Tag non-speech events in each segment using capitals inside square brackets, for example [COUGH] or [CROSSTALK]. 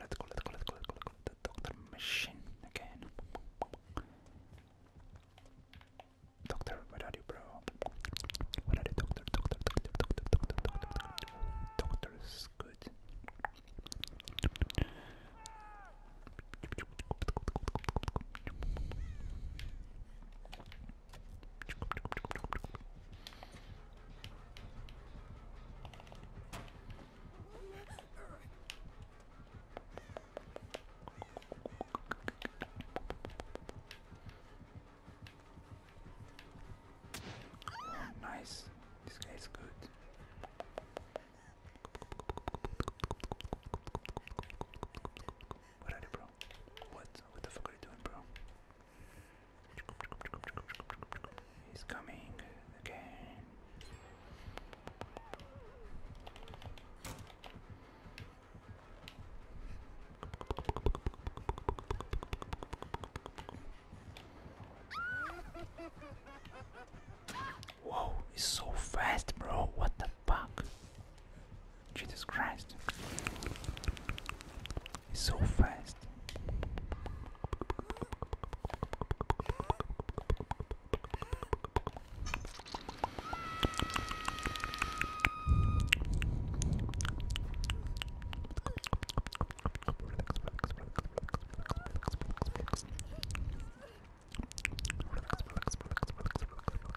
Let's go, let The doctor machine again. Doctor, where are you, bro? Where are you, doctor? Doctor, doctor, doctor, doctor, doctor, doctor. Doctor good nice. This guy is good. What are you, bro? What? What the fuck are you doing, bro? He's coming again. Whoa, he's so fast, bro. What the fuck? Jesus Christ. It's so fast. Relax, relax, relax, relax, relax, relax.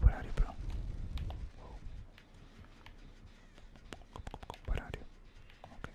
Where are you, bro? Whoa. Where are you? Okay.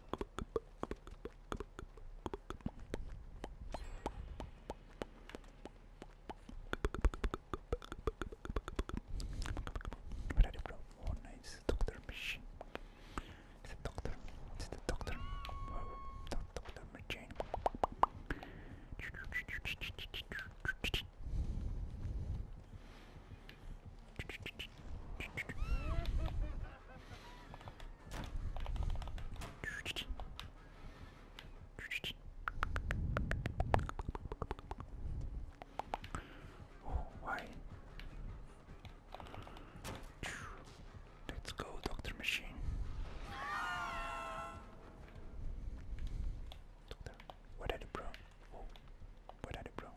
Where are you from? Oh nice, Doctor Machine. It's the doctor. It's the doctor. Oh, Doctor Machine. Oh, why? Let's go, Doctor Machine. Doctor, what are you, bro? Oh, are you, bro?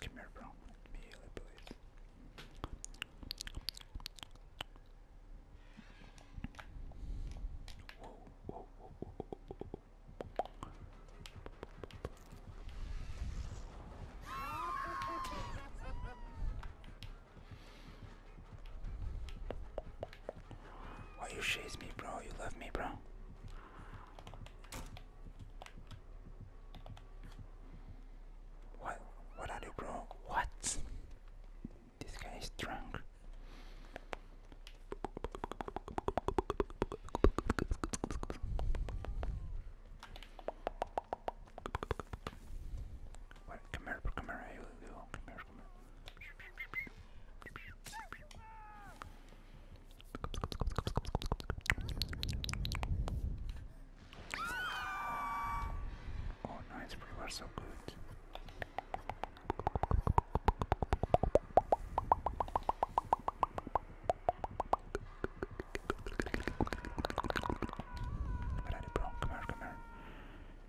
Come here, bro. Let please. [LAUGHS] Why you chase me, bro? You love me, bro. What? What are you, bro? What? This guy is drunk. Come here, come here. Oh, nice, we were so good. Ready, bro? Come here, come here.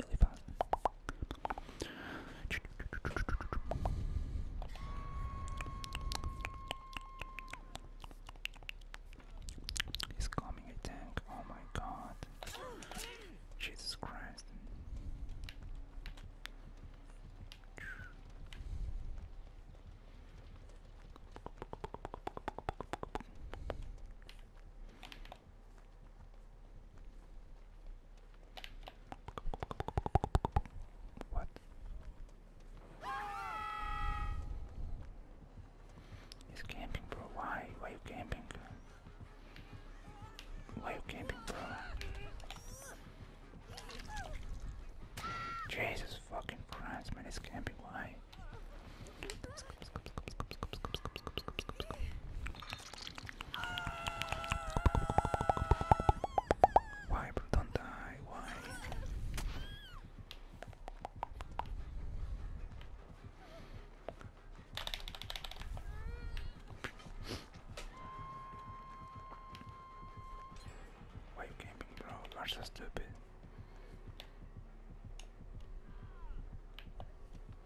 really He's coming a tank. Oh my god. Jesus Christ. What? He's camping, bro. Why? Why you camping? Why you camping, bro? Jesus fucking Christ, man, he's camping. Why? Why, bro? Don't die. Why? Why you camping, bro? You're so stupid.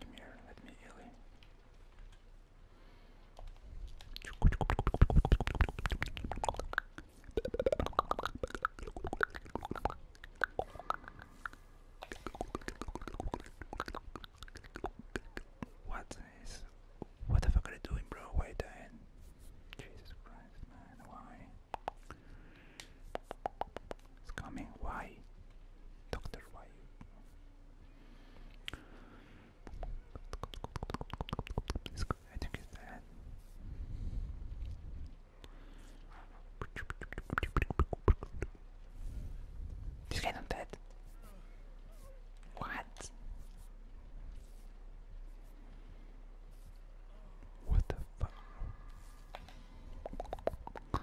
Come here, let me heal What is what the fuck are you doing, bro? Why you dying? Jesus Christ, man, why? It's coming, why? Doctor, why you? I it's that. dead. What? What the fuck? Uh,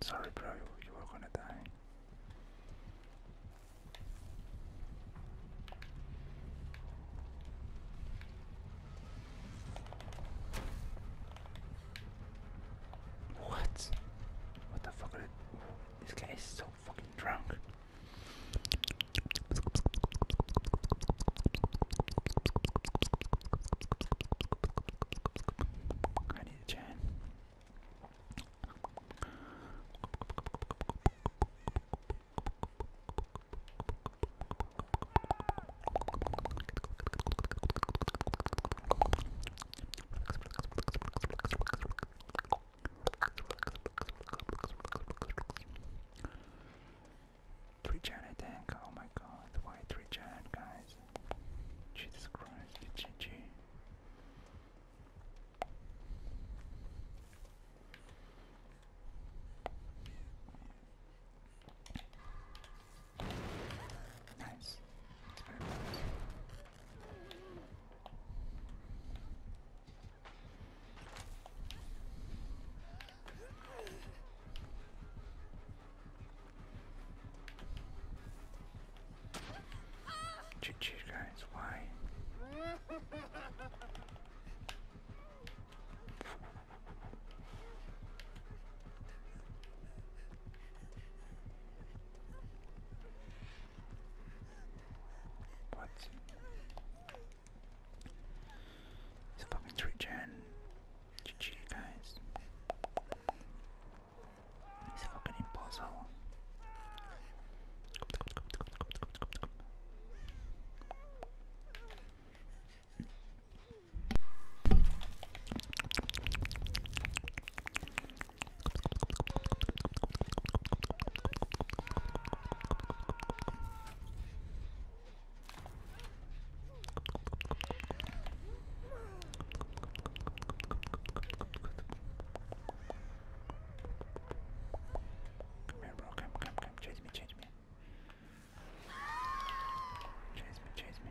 sorry, bro, you were gonna die. What? What the fuck? This guy is so fucking drunk. I need a chain. Three giant attack, oh my god, why three giant guys? Jesus Christ, GG. Nice. nice. GG guys, why? But it's a fucking Twitch and GG guys. He's fucking impossible. Come here, bro. Come, come, come. Chase me, chase me. Chase me, chase me.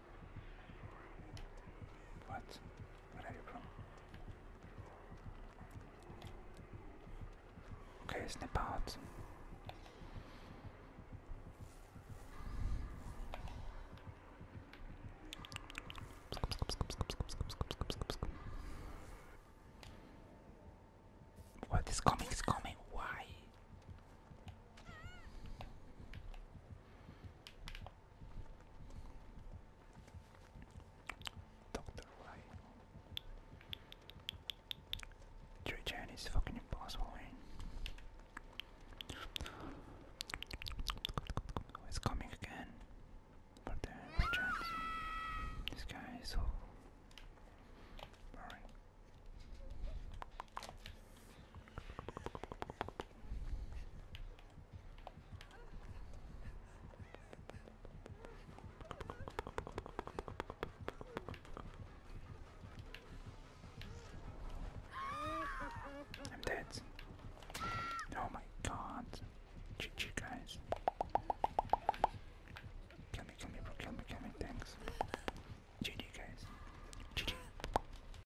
What? Where are you from? Okay, snap out. What is coming is coming. Why? Doctor White, Joy Chan is fucking impossible, It's coming again. But there's This guy is so boring. I'm dead. Oh my god. GG guys. Kill me, kill me, bro, kill me, kill me, thanks. GG guys. GG.